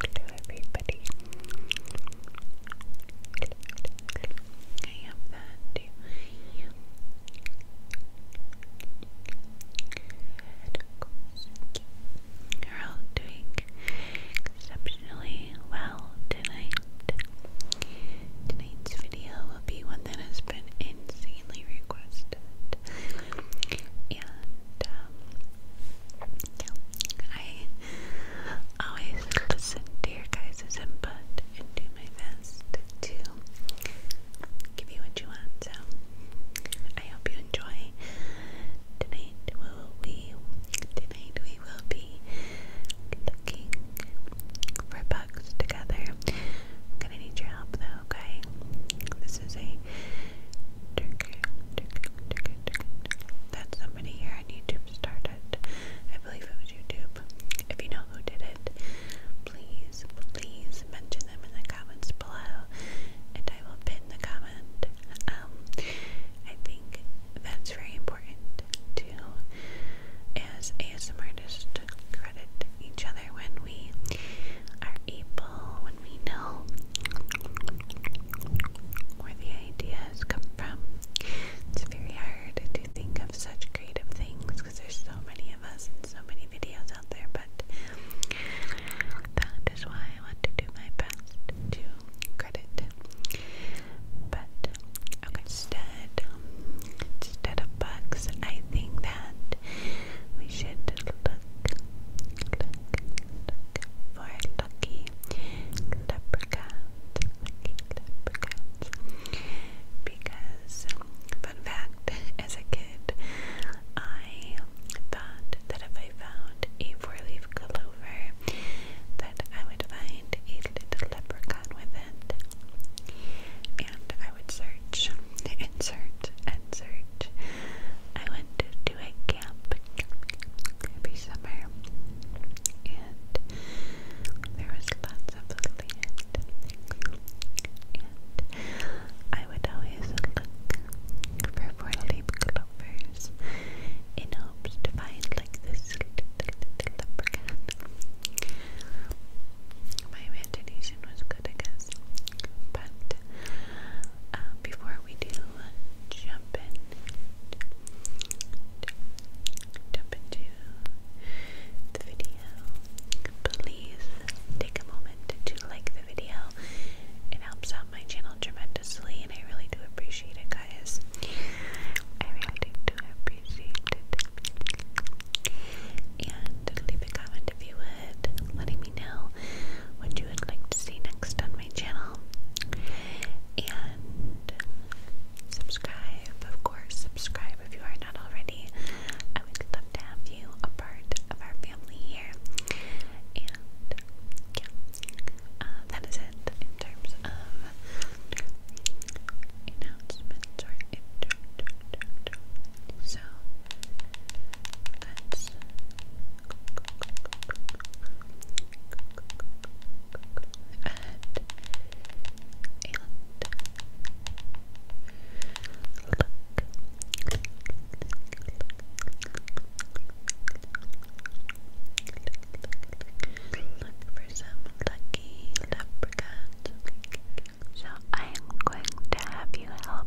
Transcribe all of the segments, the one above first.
Hello, everybody. I have that you're all doing exceptionally well tonight. Tonight's video will be one that has been insanely requested. And um, I always listen to your guys' input and do my best to give you what you want. So I hope you enjoy tonight. we tonight we will be looking for bugs together. gonna need your help though, okay? This is a Turkey, That's somebody here on YouTube started. I believe it was YouTube. If you know who did it, please, please mention them in the comments below, and I will pin the comment. Um, I think that's very important to, as ASM artists, credit each other when we are able when we know where the ideas come from. It's very hard to think of such creative things because there's so many of us and so many videos out there, but that is why I want to do my best to credit. But instead, instead of bugs, I think that we should for lucky leprechauns, Because, fun fact, as a kid, I thought that if I found a four-leaf clover, that I would find a little leprechaun with And I would search and search and word search. I went to a camp every summer, and there was lots of land. And I would always look for four-leaf clovers in hopes to find like this little My imagination was good, I guess. But uh, before we do jump in, jump into the video, please take a moment to like the video. It helps out my channel tremendously, and I really do appreciate it, guys. I really do appreciate it. And leave a comment if you would would, letting me know what you would like to see next on my channel. And subscribe, of course, subscribe if you are not already. I would love to have you a part of our family here. And yeah, uh, that is it in terms of announcements or intro. So that's add and look. Look for some lucky leprechauns. So I am going to have you help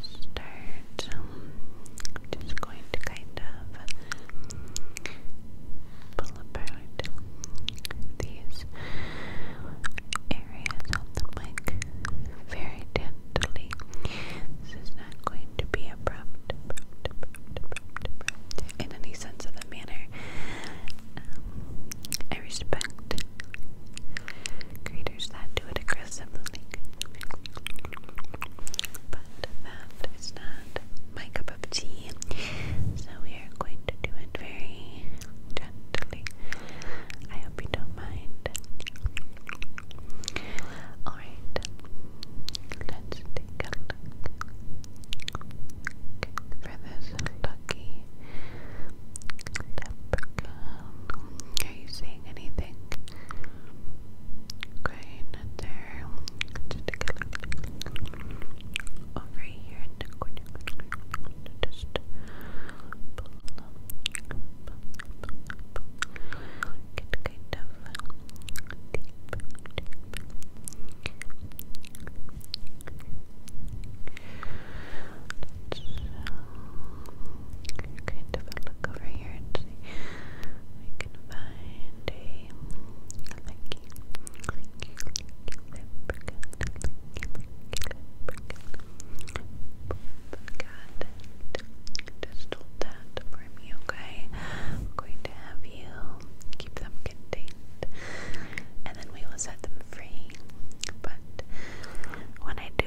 start. Um, just going to kind of pull apart these areas on the mic very gently. This is not going to be abrupt, in any sense of the manner. Um, I respect creators that do it aggressively. But that is not my cup of tea, so we are going to do it very gently. I hope you don't mind. Alright, let's take a look for this lucky leprechaun. Are you seeing anything? Okay, not there. Just take a look over here in the corner. Just pull, pull, pull, pull. Get kind of deep, deep. Let's, kind of a look over here and see we can find a lucky, lucky, lucky that for me, okay? I'm going to have you keep them contained, and then we will set them free. But when I do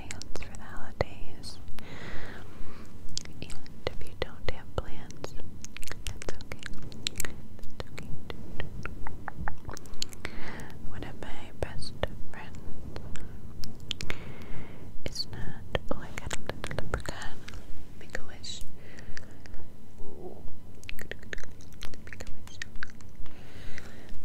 plans for the holidays. And if you don't have plans, that's okay. One of my best friends is not. Oh, I got a leprechaun. Make a wish. Make a wish.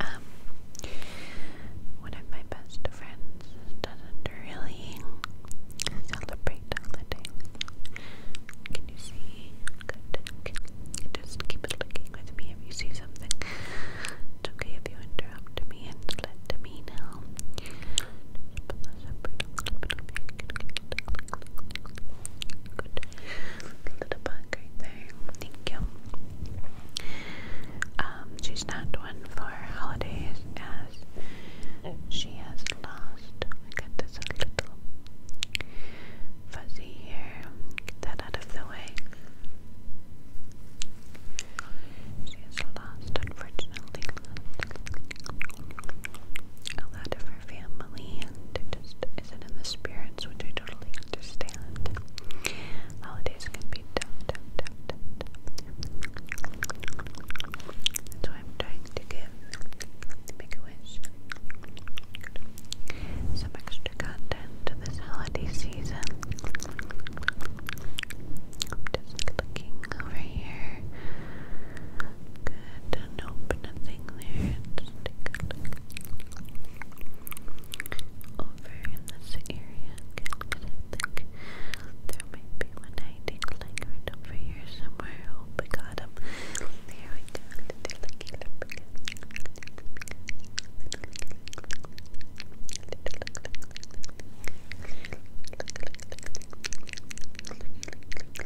Um, one of my best friends doesn't really celebrate Can you see? Just keep looking with me if you see something. It's okay if you interrupt me and let me know. Um, she's not one for holidays as she has lost. I got this a little fuzzy here. Get that out of the way. She is lost, unfortunately that of her family, and it just isn't in the spirits, which I totally understand. Holidays can be tough, That's why I'm trying to give, make a wish, some extra content this holiday season. just looking over here. Good. Nope, nothing there. over in this area. there might be one hiding like right over here somewhere. Oh, we got him. There we go. Little lucky lump. But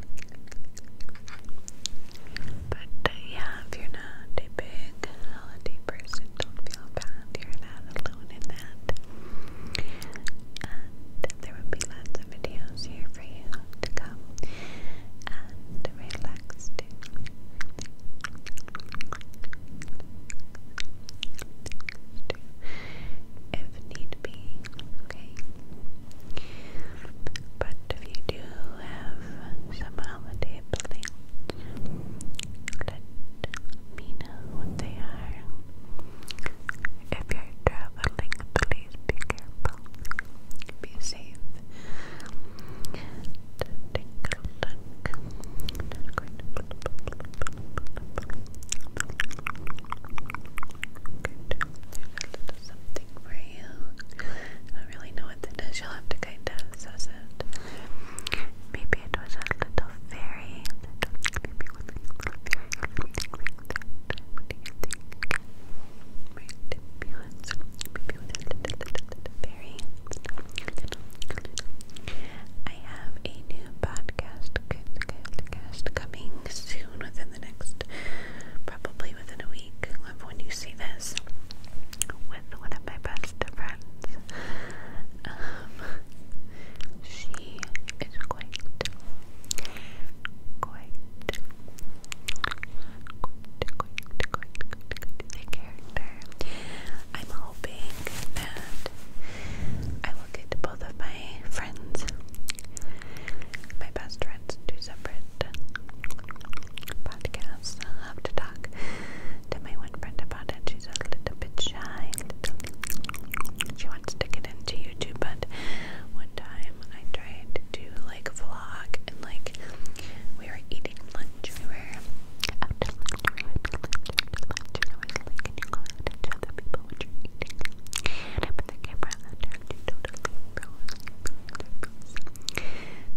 uh, yeah, if you're not a big holiday person, don't feel bad. You're not alone in that. And there will be lots of videos here for you to come and relax If need be, okay. But if you do have some let me know what they are. If you're traveling, please be careful. Be safe. Good. something for you. I don't really know what that is. You'll have to kind of assess it. Maybe it was a little fairy. Maybe it was a little fairy. I have a new podcast coming soon, within the next, probably within a week of when you see this, with one of my best friends. she is quite, quite, quite, quite, quite, quite, quite the character. I'm hoping that I will get both of my friends, my best friend separate, separate podcasts. i have to talk to my one friend about it. She's a little bit shy. she wants to get into YouTube, but one time I tried to like vlog and like we were eating lunch. We were out to lunch. We were lunch. And I was like, can you go out and tell the people what you're eating? And I put the camera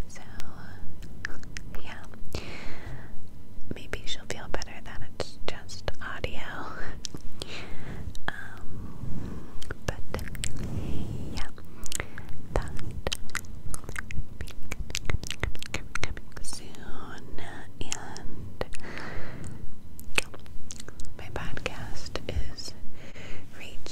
so, yeah. Maybe she'll feel better that it's just audio. Um, but, yeah. That coming, soon. And my podcast is reaching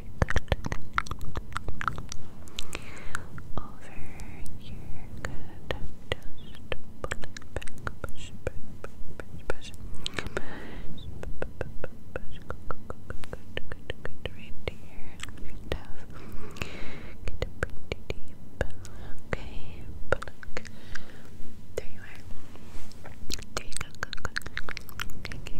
push, push, push, push, push, Good, right there. Good tough. Get pretty deep. Okay, pluck. There you are. There you go. go, go. Okay,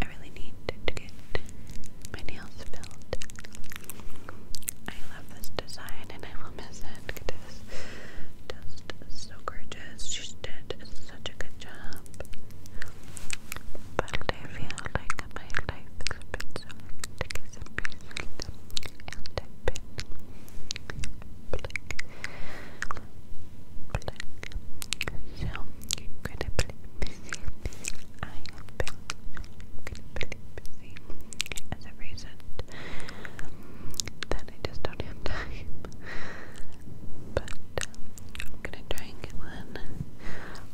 I really need to get my nails filled. I love this design and I will miss it. It is just so gorgeous. She did such a good job. But I feel like my life has been so hectic as a person. And I've been like, like, so incredibly busy. I have incredibly busy as a reason that I just don't have time. But I'm gonna try and get one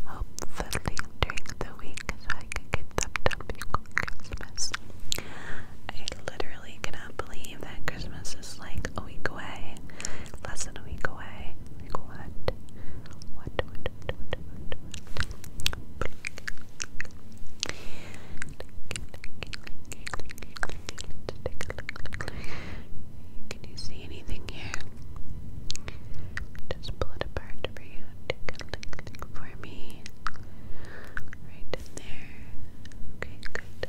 hopefully during the week so I can get them done before Christmas. I literally cannot believe that Christmas is like a week away, less than a week away. Like what? What? What? What? What? what, Can you see anything here? Just pull it apart for you. for me. Right in there. Okay, good.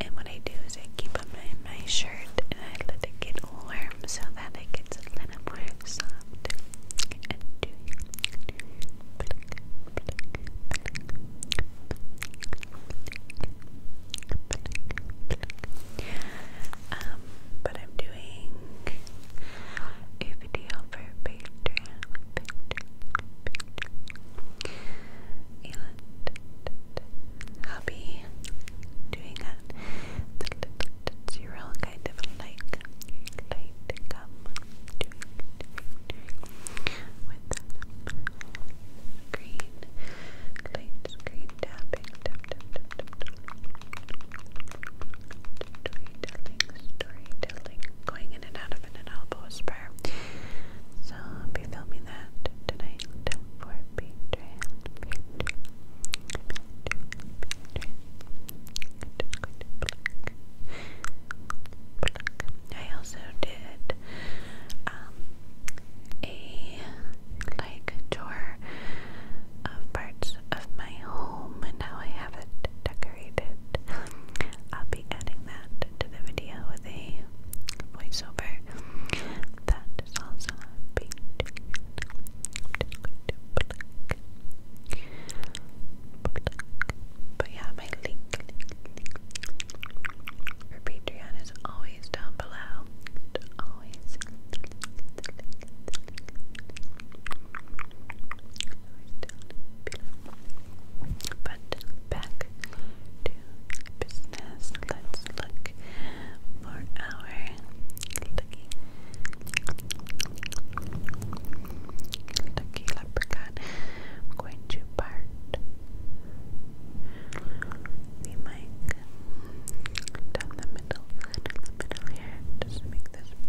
And what I do is I keep them in my shirt and I let it get warm so that it gets a little more soft. but I'm doing a you for Patreon. Patreon, Patreon. And I'll be doing a zero kind of like light doing, with green light screen tap storytelling storytelling going going in and out of an inaudible So I'll be filming that tonight I also did um, a like tour of parts of my home and how I have it decorated. I'll be adding that to the video with a voiceover. That is also happening. But yeah, my link, for Patreon is always down below. But back to business. Let's look for our lucky, lucky leprechaun. I'm going to part the mic down the middle, down the middle here, just make this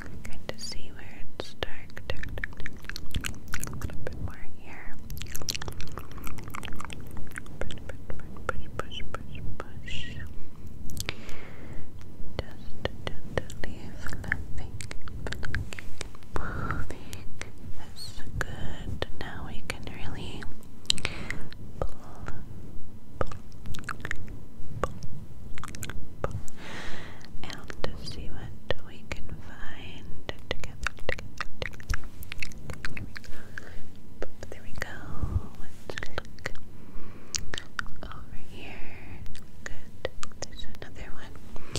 Good to see where it's dark. A little bit more here. Push, push, push, push, push. Just gently fluffing, fluffing, moving. That's good. Now we can really and to see what we can find together. There we go. over here. Good. There's another one.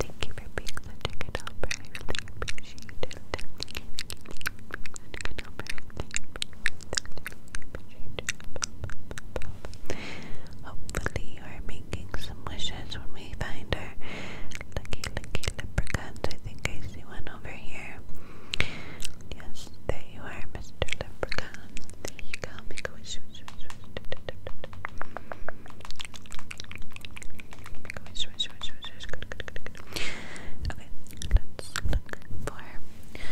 Thank you for being the ticket helper. the ticket Hopefully, you are making some wishes when we find our lucky, lucky leprechauns. I think I see one over here. Yes, there you are, Mr. Leprechaun. There you go. Make a wish, wish, wish, wish. Make a wish, wish, wish, wish, wish. Good, good, good, good. Okay, let's look for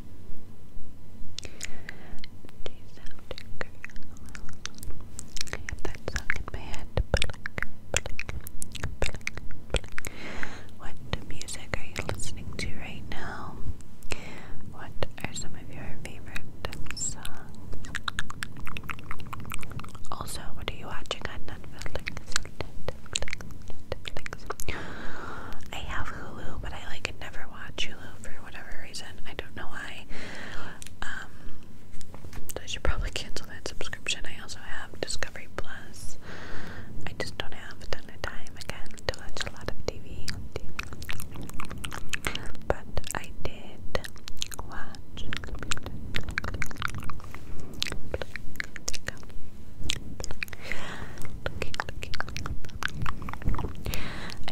She's What music are you listening to right now? What are some of your favorite songs? Also, what are you watching on Netflix? I have Hulu, but I like never watch Hulu for whatever I don't know why. Um, I should probably cancel that subscription. I also have Discovery Plus. I just don't have a ton of time again to watch a lot of TV. But I did watch.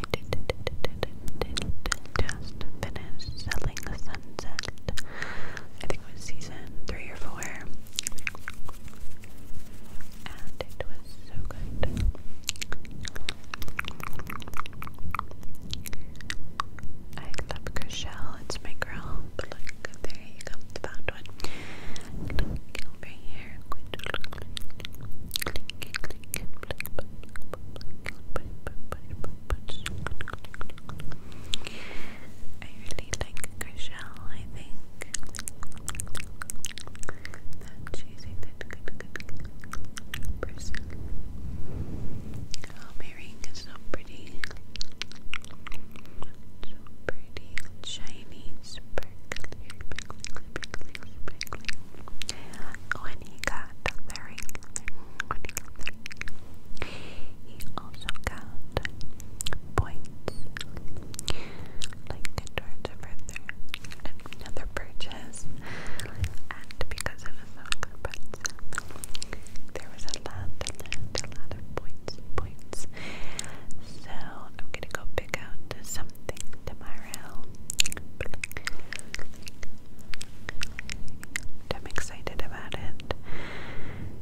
I just finish selling sunset. I think it was season three or four. And it was so good. I love Chriselle, it's my girl. But look, there you go, the found one. over here. I really like Grishelle, I think. That she's a good, good, person. Oh, is so pretty. So pretty, shiny, sparkly sprinkling, sprinkling. When he got very, he also got points, like towards a further another purchase, and because it was so good, there was a lot, a a lot of points, points. So I'm gonna go pick out some something tomorrow. I'm excited about it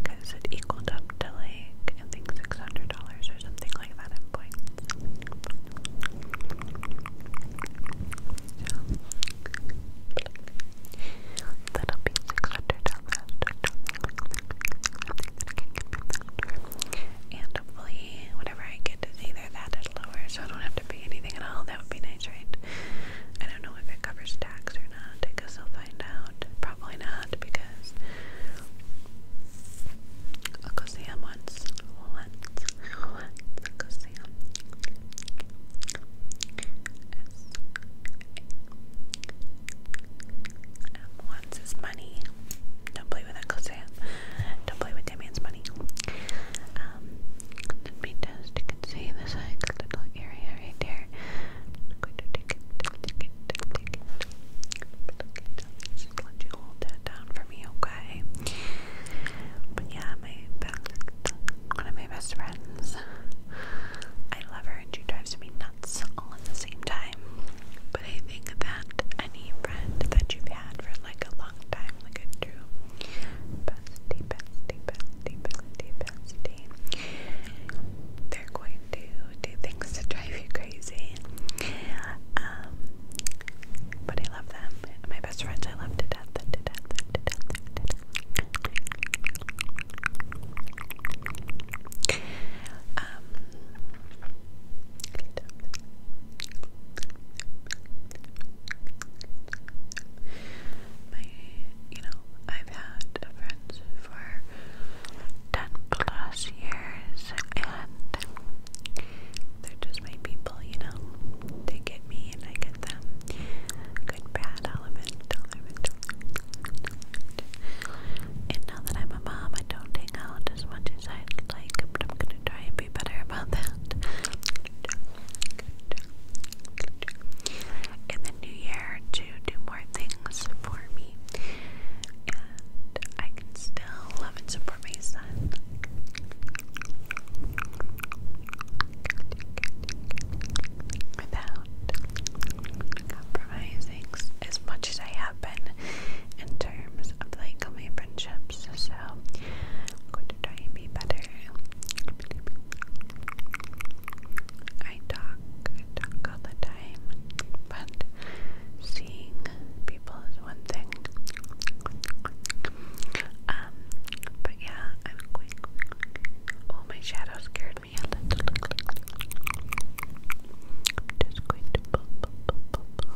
because it equaled up to like I think six hundred dollars or something like that in points. So that'll be six hundred dollars. And hopefully whatever I get is either that bit lower, so I don't have to pay anything at all. That would be nice, right? I don't know if it covers tax or not. I guess I'll find out. Probably not because I'll go see him once. Once. Once. I'll go see him. S -A -M. Once is money. Don't play with that Uncle Sam. Don't play with Damien's money. Um, let me just, you can see this like little area right there. Just let you hold that down for me, okay? But yeah, my one of my best friends. I love her and she drives me nuts all at the same time. But I think that any friend that you've had for like a long time, like a true bestie, bestie, bestie, bestie, bestie. They're going to do things to drive you crazy. Um, but I love them. My best friends I love to death. Um, my, you know, I've had friends for 10 plus years and they're just my people, you know. They get me and I get them. Good, bad, element, element. And now that I'm a mom, I don't hang out as much as I'd like, but I'm gonna try and be better about that. In the new year, to do more things for me, and I can still love and support my son. Without compromising as much as I have been in terms of like my friendship so I'm going to try and be better. I talk, I talk all the time, but seeing people is one thing. Um, but yeah, I'm going. Oh, my shadow scared me a little. just going to pull, pull, pull, pull,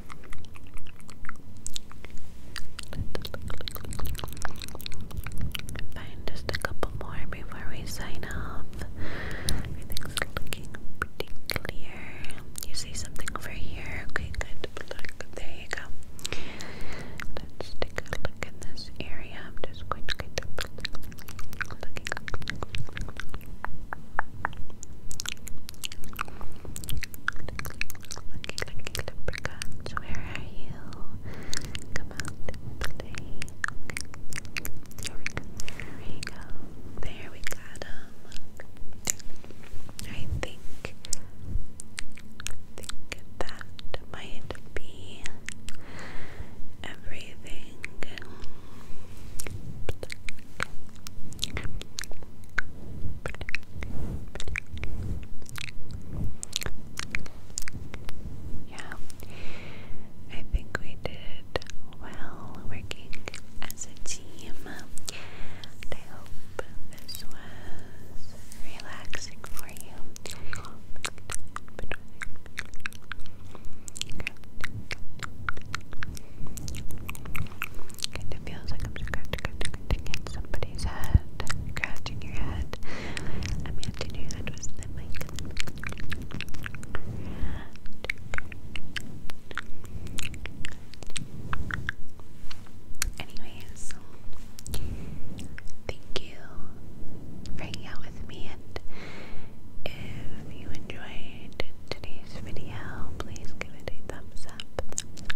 Fine, just a couple more before we sign off. Everything's looking pretty clear. You see something over here? Okay, good. there you go. let take a look in this area. I'm just going to get the Lucky, where are you? Come out and There we go. There we got him. I think, think that might be everything. Yeah, I think we did well working as a team. And I hope this was relaxing for you. Kind feels like I'm scratching, scratching at somebody's head, scratching your head. I mean, did your head was the Anyways, thank you for hanging out with me, and if you enjoyed today's video, please give it a thumbs up.